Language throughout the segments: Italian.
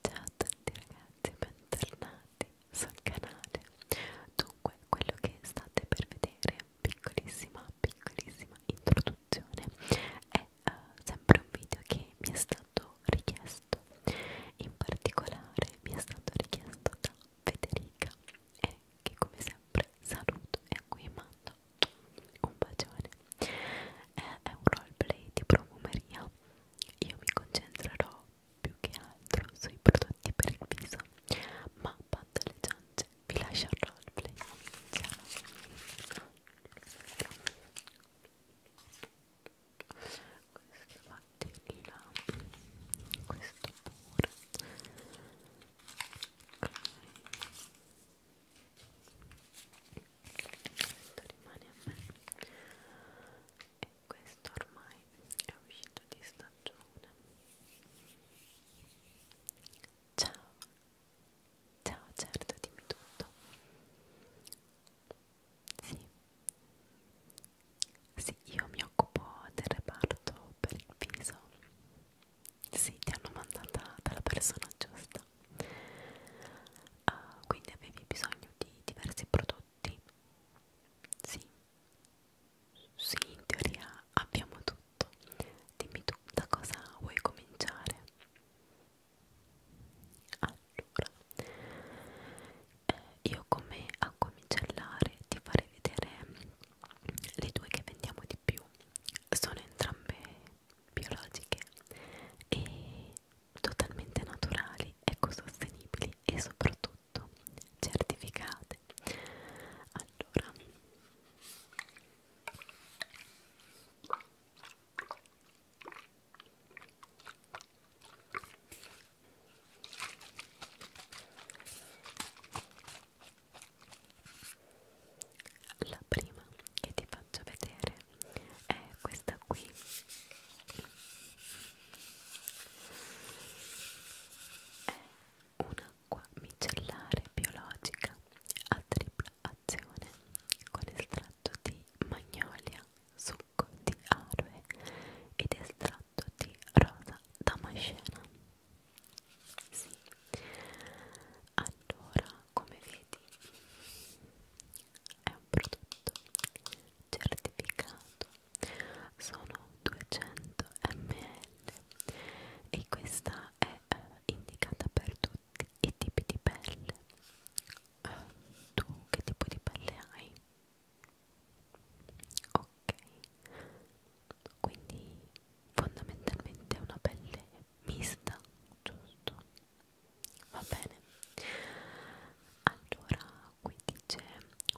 Ciao a tutti ragazzi, bentornati sul canale. Dunque, quello che state per vedere, piccolissima, piccolissima introduzione, è uh, sempre un video che mi è stato richiesto. In particolare mi è stato richiesto da Federica e che come sempre saluto e a cui mando un bacione è, è un roleplay di profumeria io mi concentrerò più che altro sui prodotti per il viso ma bando alle ciance vi lascio il roleplay ciao questo va di là questo pure ok questo rimane a me e questo ormai è uscito di stagione ciao ciao certo dimmi tutto sì sì io mi occupo del reparto per il viso sì ti hanno mandata dalla persona giusta uh, quindi avevi bisogno di diversi prodotti sì sì in teoria abbiamo tutto dimmi tu da cosa vuoi cominciare allora eh, io come accomincellare ti farei vedere le due che vendiamo di più sono entrambe biologiche e totalmente naturali, ecosostenibili e soprattutto certificate. Allora la prima che ti faccio vedere è questa qui è un'acqua micellare biologica a tripla azione con estratto di magnolia succo di aloe ed estratto di rosa damascena sì. ha allora, come vedi, è un prodotto certificato, sono 200 ml e questa è eh, indicata per tutti i tipi di pelle. Eh, tu che tipo di pelle hai? Ok, quindi fondamentalmente è una pelle mista, giusto? va bene allora qui dice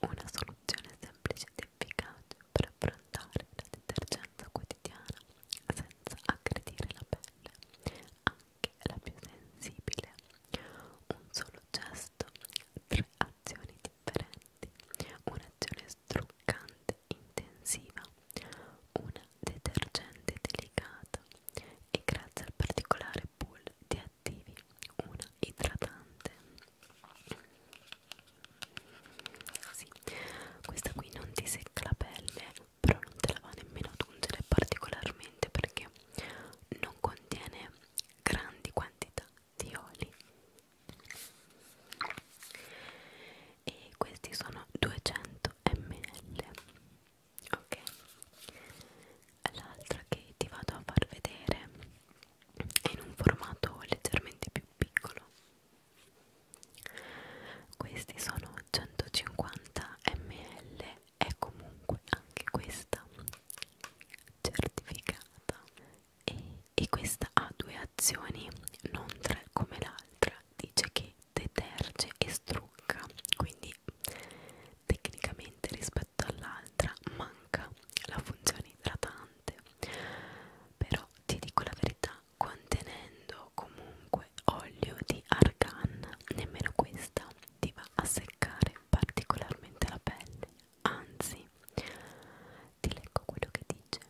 una soluzione semplice ed efficace per affrontare la detergenza quotidiana senza aggredire la pelle anche la più sensibile un solo gesto tre azioni differenti un'azione struccante intensiva, una detergente delicata e grazie al particolare pool di attivi una idratante. Sì, questa qui non ti secca la pelle, però non te la va nemmeno ad ungere particolarmente perché non contiene grandi quantità di oli e questi sono 200 ml ok l'altra che ti vado a far vedere è in un formato leggermente più piccolo questi sono 150 ml è comunque anche questa certificata e, e questa ha due azioni non tre come l'altra dice che deterge e strucca quindi tecnicamente rispetto all'altra manca la funzione idratante però ti dico la verità contenendo comunque olio di argan nemmeno questa ti va a seccare particolarmente la pelle anzi ti leggo quello che dice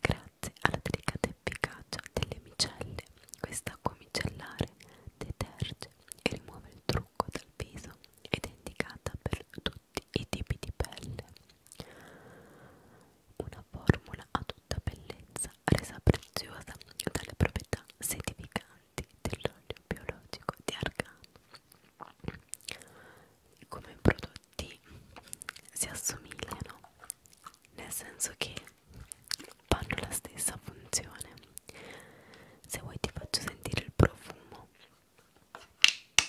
Grazie alla delicata efficacia delle micelle, quest'acqua micellare deterge e rimuove il trucco dal viso ed è indicata per tutti i tipi di pelle. Una formula a tutta bellezza resa preziosa dalle proprietà sedificanti dell'olio biologico di argano. Come prodotti si assomigliano nel senso che fanno la stessa funzione se vuoi ti faccio sentire il profumo ok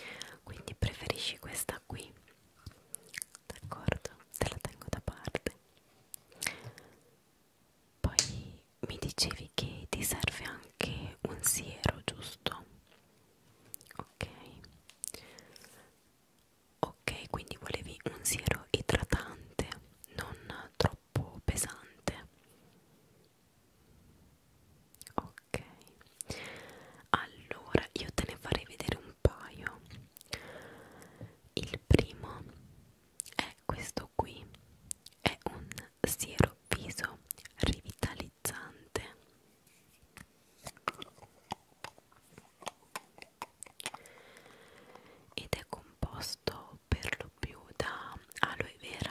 ok quindi preferisci questa qui d'accordo te la tengo da parte poi mi dicevi che ti serve anche un siero giusto ok ok quindi volevi un siero idratante non troppo pesante ok allora io te ne farei vedere un paio il primo è questo qui è un siero viso rivitalizzante ed è composto per lo più da aloe vera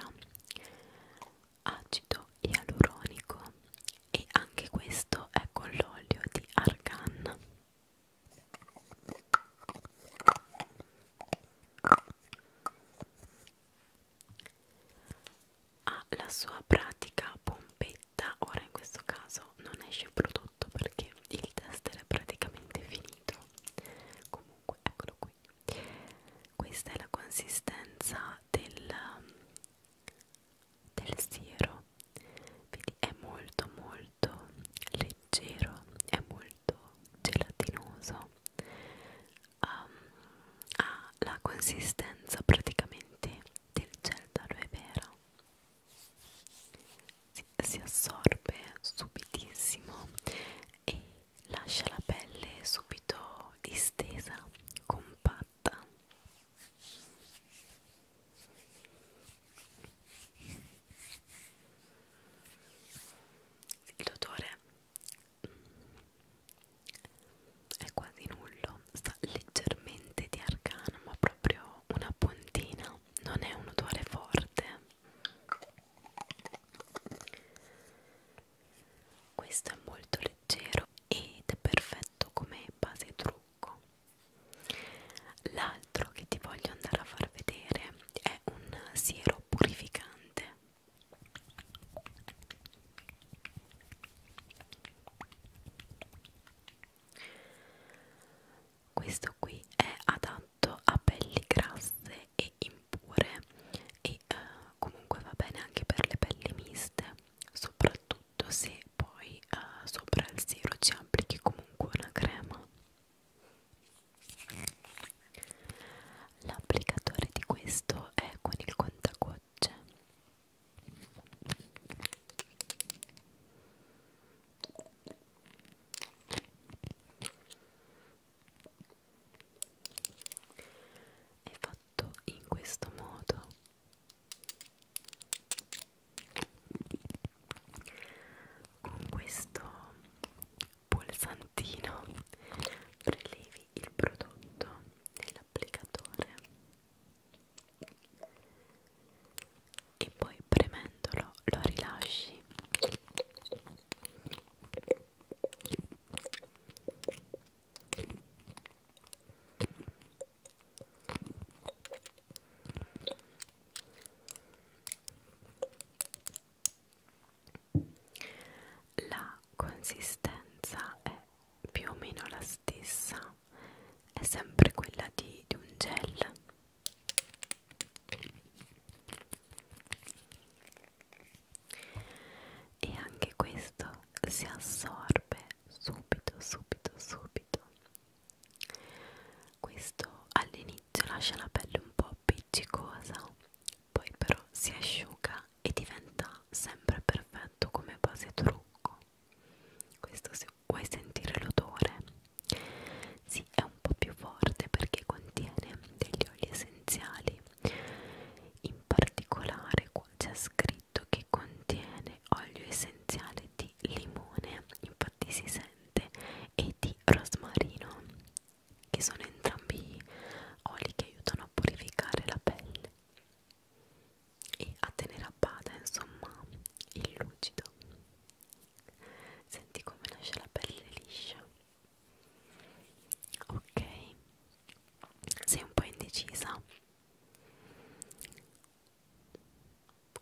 acido ialuronico e anche questo è con l'olio di argan ha la sua pratica pompetta ora in questo caso non esce il prodotto perché il tester è praticamente finito comunque eccolo qui questa è la consistenza del, del siero Vedi, è molto molto leggero è molto gelatinoso um, ha la consistenza praticamente del gel d'aloe vera si, si assorbe subitissimo e lascia la pelle subito distesa, compatta. Il odore mm, è quasi nullo, sta leggermente di arcano, ma proprio una puntina, non è un odore forte questo è molto leggero ed è perfetto come base trucco l'altro che ti voglio andare a far vedere è un siero purificante questo qui è adatto a pelli grasse e impure e eh, comunque va bene anche per le pelli miste soprattutto se poi eh, sopra il siero ci applichi comunque una crema l'applicatore di questo è con il contagocce è fatto in questo modo con questo pulsantino prelevi il prodotto nell'applicatore e poi premendolo lo rilasci la consistenza è più o meno la stessa, è sempre quella di, di un gel e anche questo si assorbe subito subito subito questo all'inizio lascia la pelle un po' appiccicosa poi però si asciuga e diventa sempre perfetto come base trucco questo se vuoi sentire l'odore sì, è un un po' più forte perché contiene degli oli essenziali in particolare qua c'è scritto che contiene olio essenziale di limone infatti si sente e di rosmarino che sono entrambi oli che aiutano a purificare la pelle e a tenere a bada insomma il lucido senti come nasce la pelle liscia ok sei un po' indecisa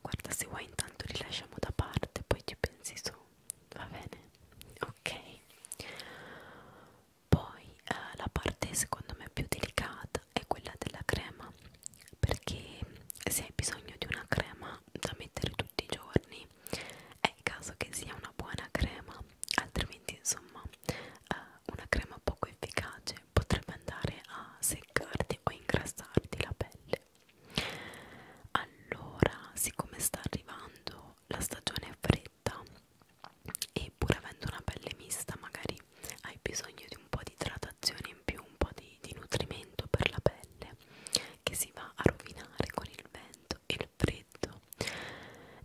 guarda se vuoi intanto li lasciamo da parte poi ci pensi su va bene ok poi eh, la parte secondo me più delicata è quella della crema perché se hai bisogno di una crema da mettere tutti i giorni è il caso che sia una buona crema altrimenti insomma eh, una crema poco efficace potrebbe andare a seccarti o ingrassarti la pelle allora siccome sta arrivando la stagione fredda e pur avendo una pelle mista magari hai bisogno di un po' di idratazione in più un po' di, di nutrimento per la pelle che si va a rovinare con il vento il freddo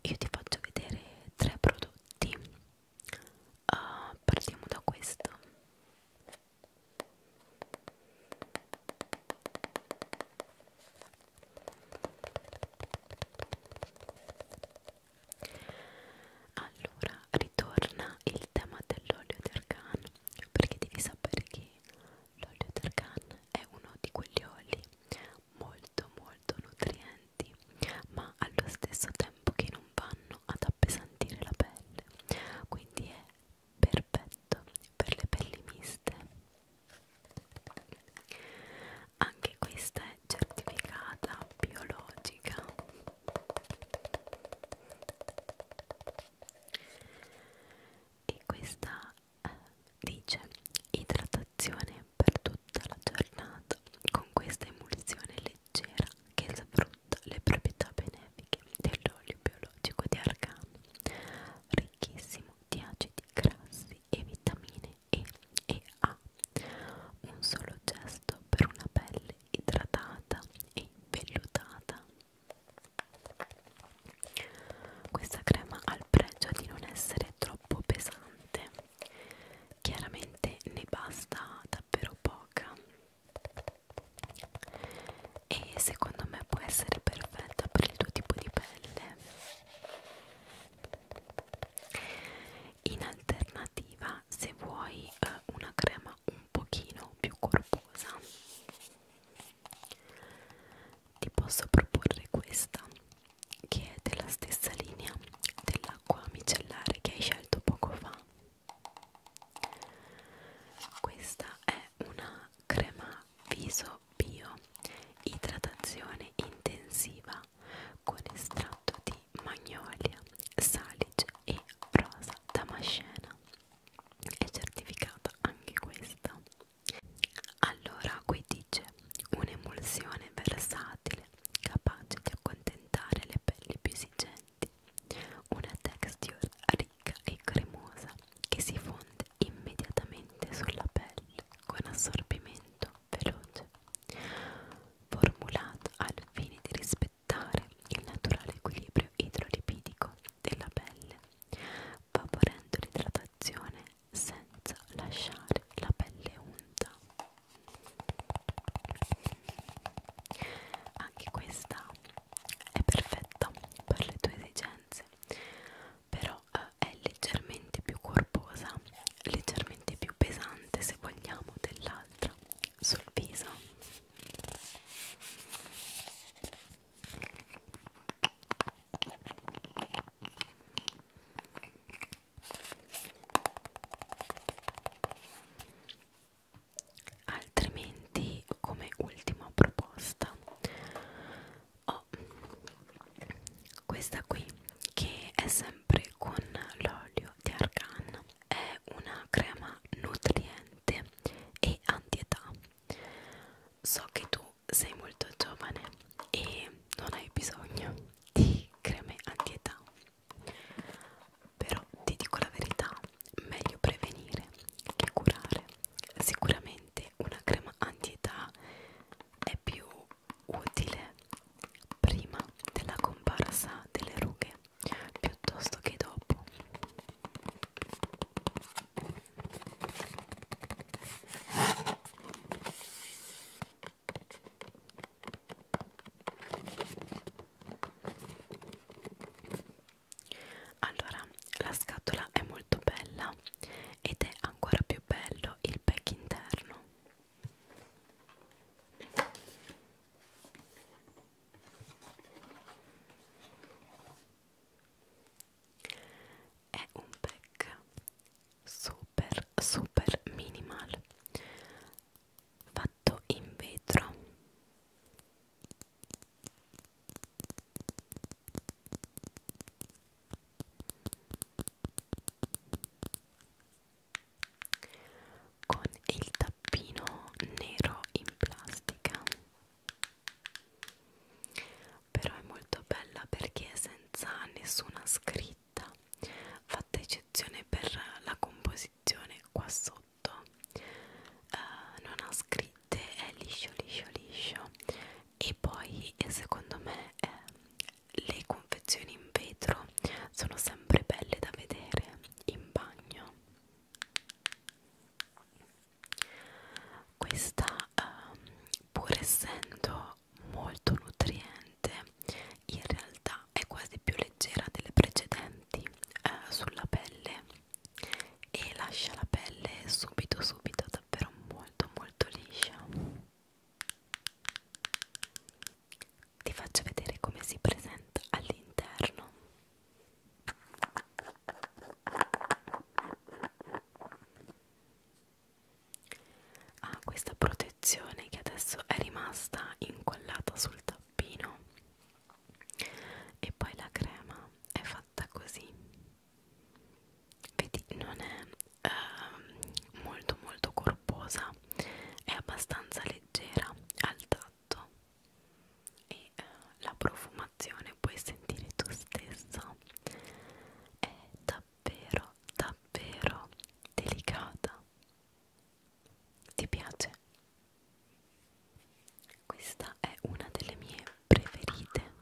io ti faccio vedere tre prodotti uh, partiamo da questo allora ritorna il tema dell'olio d'argan perché devi sapere che L'olio d'argan è uno di quegli oli molto molto nutrienti, ma allo stesso tempo che non vanno ad appesantire la pelle, quindi è perfetto per le pelli miste. Anche questa è certificata biologica. E questa eh, dice idratazione per tutta la giornata con questa emulsione leggera che sfrutta le proprietà benefiche dell'olio biologico di argano ricchissimo di acidi grassi e vitamine E e A un solo gesto per una pelle idratata e vellutata questa crema ha il pregio di non essere troppo pesante, chiaramente ne basta davvero poca e secondo me può essere perfetta per il tuo tipo di pelle. In alternativa, se vuoi eh, una crema un pochino più corposa ti posso proporre questa che è della stessa linea dell'acqua micellare che hai scelto poco fa questa è una crema viso bio idratazione intensiva con estratto di magnolia, salice e rosa damascena è certificata anche questa allora qui dice un'emulsione versatile capace di accontentare le pelli più esigenti una texture ricca e cremosa che si fonde immediatamente sulla pelle con assorbimento veloce formulata al fine di rispettare il naturale equilibrio idrolipidico della pelle, favorendo l'idratazione senza lasciare la pelle unta. Anche questa è perfetta per le tue esigenze, però eh, è leggermente più corposa, leggermente più pesante se vogliamo dell'altra sul viso Altrimenti, come ultima proposta, ho questa qui che è sempre con l'olio di argan. È una crema nutriente e antietà So che tu sei molto giovane e non hai bisogno di creme antietà, però ti dico la verità, meglio prevenire che curare. Sicuramente una crema antietà è più utile prima della comparsa delle rughe piuttosto che dopo allora, la scatola è molto bella ed è ancora più bello il pack interno è un pack super super minimal fatto in vetro con il tappino nero in plastica però è molto bella perché è senza nessuna scritta fatta eccezione per la composizione qua sotto uh, non ha scritte è liscio liscio liscio e poi secondo me eh, le confezioni in vetro sono sempre belle da vedere in bagno questa, um, pur essendo molto nutriente, in realtà è quasi più leggera delle precedenti eh, sulla pelle e lascia la pelle subito, subito davvero molto, molto liscia. Ti faccio vedere come si presenta all'interno ha ah, questa protezione che adesso è rimasta incollata sul tappino e poi la crema è fatta così vedi non è eh, molto molto corposa è abbastanza leggera al tatto fatto e eh, la profumazione puoi sentire tu stesso è davvero davvero delicata ti piace? questa è una delle mie preferite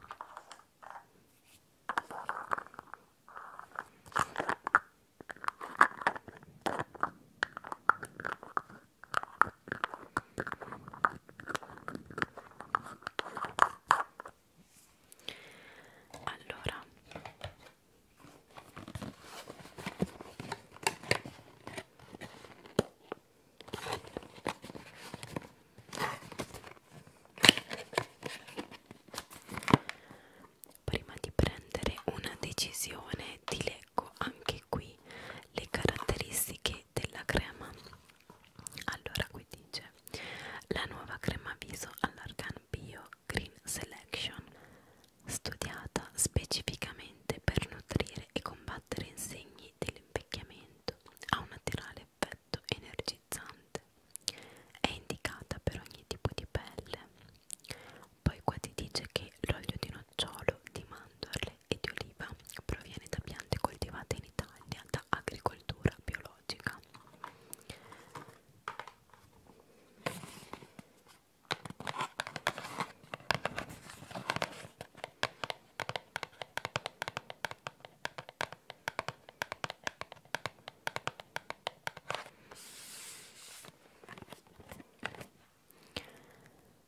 allora Prima di prendere una decisione ti leggo anche anche qui le caratteristiche della crema allora qui dice la nuova crema viso all'argan bio green selection studiata specificamente per nutrire e combattere insegni dell'invecchiamento ha un naturale effetto energizzante è indicata per ogni tipo di pelle poi qua ti dice che l'olio di nocciolo, di mandorle e di oliva proviene da piante coltivate in Italia da agricoltura biologica.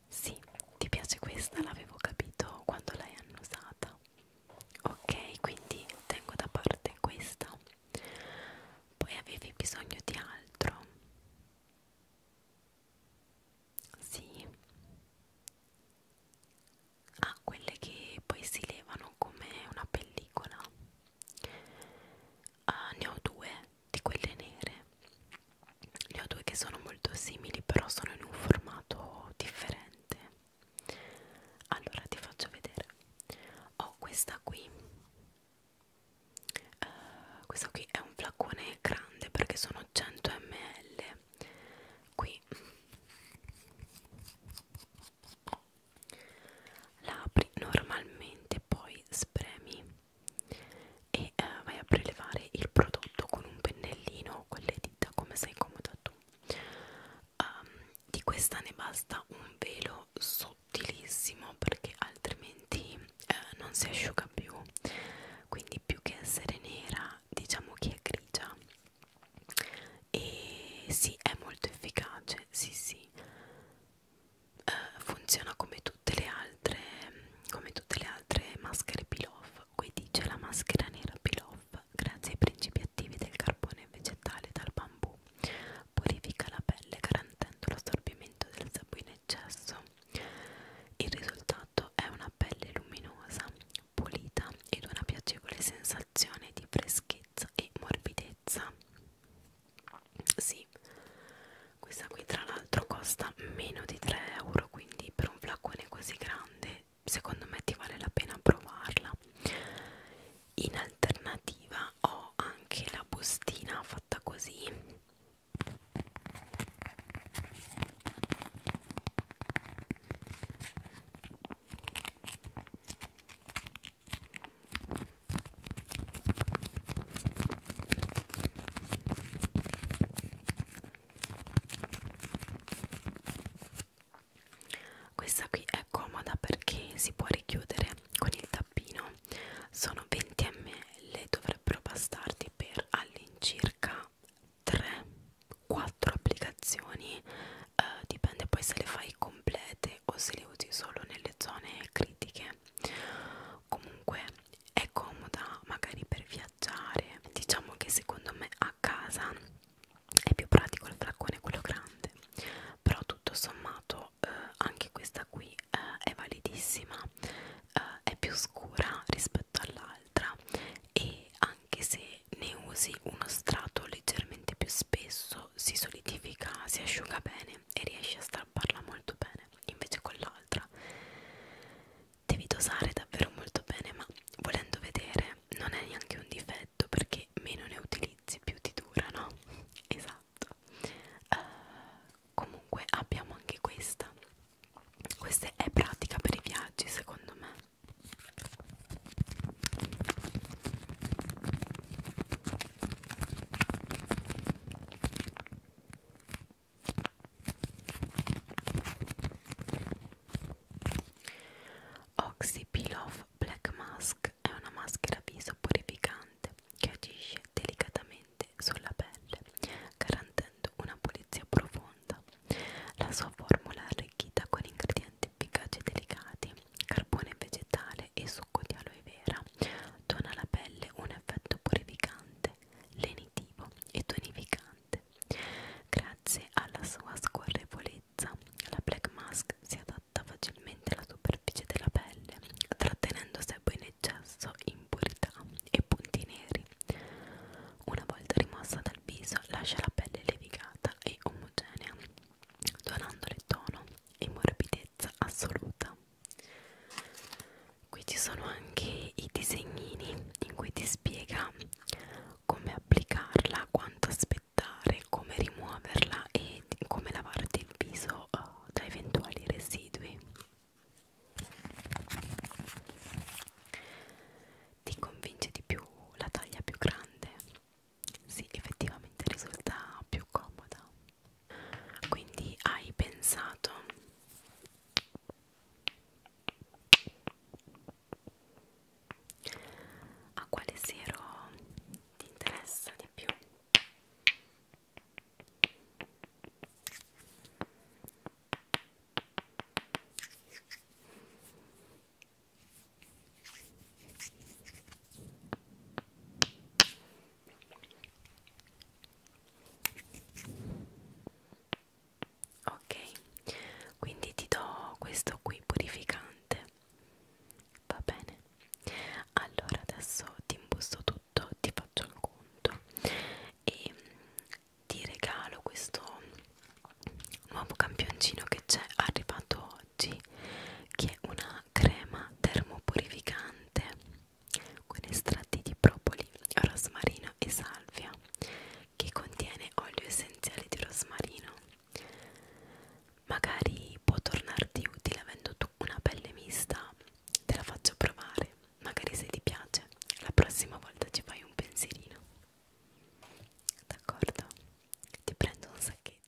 Sì, ti piace questa? L'avevo capito quando l'hai annusata. Ok, quindi tengo da parte questa. Poi avevi bisogno di altro? Sì. Ah, quelle che poi si levano come una pellicola uh, ne ho due di quelle nere ne ho due che sono molto simili però sono in un formato differente allora ti faccio vedere ho questa qui uh, eh, questa qui è un flaccone grande perché sono 100 ml qui la apri normalmente poi spremi e eh, vai a prelevare il prodotto con un pennellino o con le dita come sei comoda tu um, di questa ne basta un velo sottilissimo perché altrimenti eh, non si asciuga più quindi più che essere nera diciamo che è grigia e sì è molto efficace sì sì eh, funziona come tutte le altre come tutte le altre maschere pilaf qui dice la maschera nera pilaf grazie ai principi attivi del carbone vegetale dal bambù purifica la pelle garantendo l'assorbimento del sebo in eccesso il risultato è una pelle luminosa pulita ed una piacevole sensazione di freschezza e morbidezza sì questa qui tra l'altro costa meno di 3 euro quindi per un flacone così grande secondo me ti vale la pena provarla in alternativa ho anche la bustina fatta così questa qui è comoda perché si può richiudere con il tappino. Sono 20 ml, dovrebbero bastarti per all'incirca 3-4 applicazioni. Eh, dipende poi se le fai complete o se le usi solo nelle zone critiche comunque è comoda magari per viaggiare diciamo che secondo me a casa è più pratico il flaccone quello grande però tutto sommato eh, anche questa qui eh, è validissima eh, è più scura rispetto all'altra e anche se ne usi uno strato leggermente più spesso si solidifica si asciuga bene e riesci a stare strapparla molto bene invece con l'altra devi dosare davvero molto bene ma volendo vedere non è neanche un difetto perché meno ne utilizzi più ti dura no? esatto uh, comunque abbiamo anche questa questa è pratica per i viaggi secondo me Oxy Peel Off Black Mask è una maschera viso purificante che agisce delicatamente sulla pelle, garantendo una pulizia profonda. La sua formula è arricchita con ingredienti efficaci e delicati, carbone vegetale e succo di aloe vera, dona alla pelle un effetto purificante, lenitivo e tonificante. Grazie alla sua scorrevolezza, la Black Mask si adatta facilmente alla superficie della pelle, trattenendo sebo in eccesso, impurità e punti neri. Una volta rimossa dal viso, lascia la pelle levigata e omogenea, donandole tono e morbidezza assoluta qui ci sono anche i disegnini in cui ti spiega come applicarla quanto aspettare come rimuoverla e come lavarti il viso uh, da eventuali residui ti convince di più la taglia più grande? Sì, effettivamente risulta più comoda quindi hai pensato a quale siero ti interessa di più? ok quindi ti do questo qui purificante va bene allora adesso ti imbusto tutto ti faccio il conto e ti regalo questo nuovo campioncino che c'è arrivato oggi che è una crema termopurificante con estratti di propoli, rosmarino e salvia che contiene olio essenziale di rosmarino magari può tornarti utile avendo tu una pelle mista te la faccio provare magari se ti piace la prossima volta ci fai un pensierino d'accordo? ti prendo un sacchetto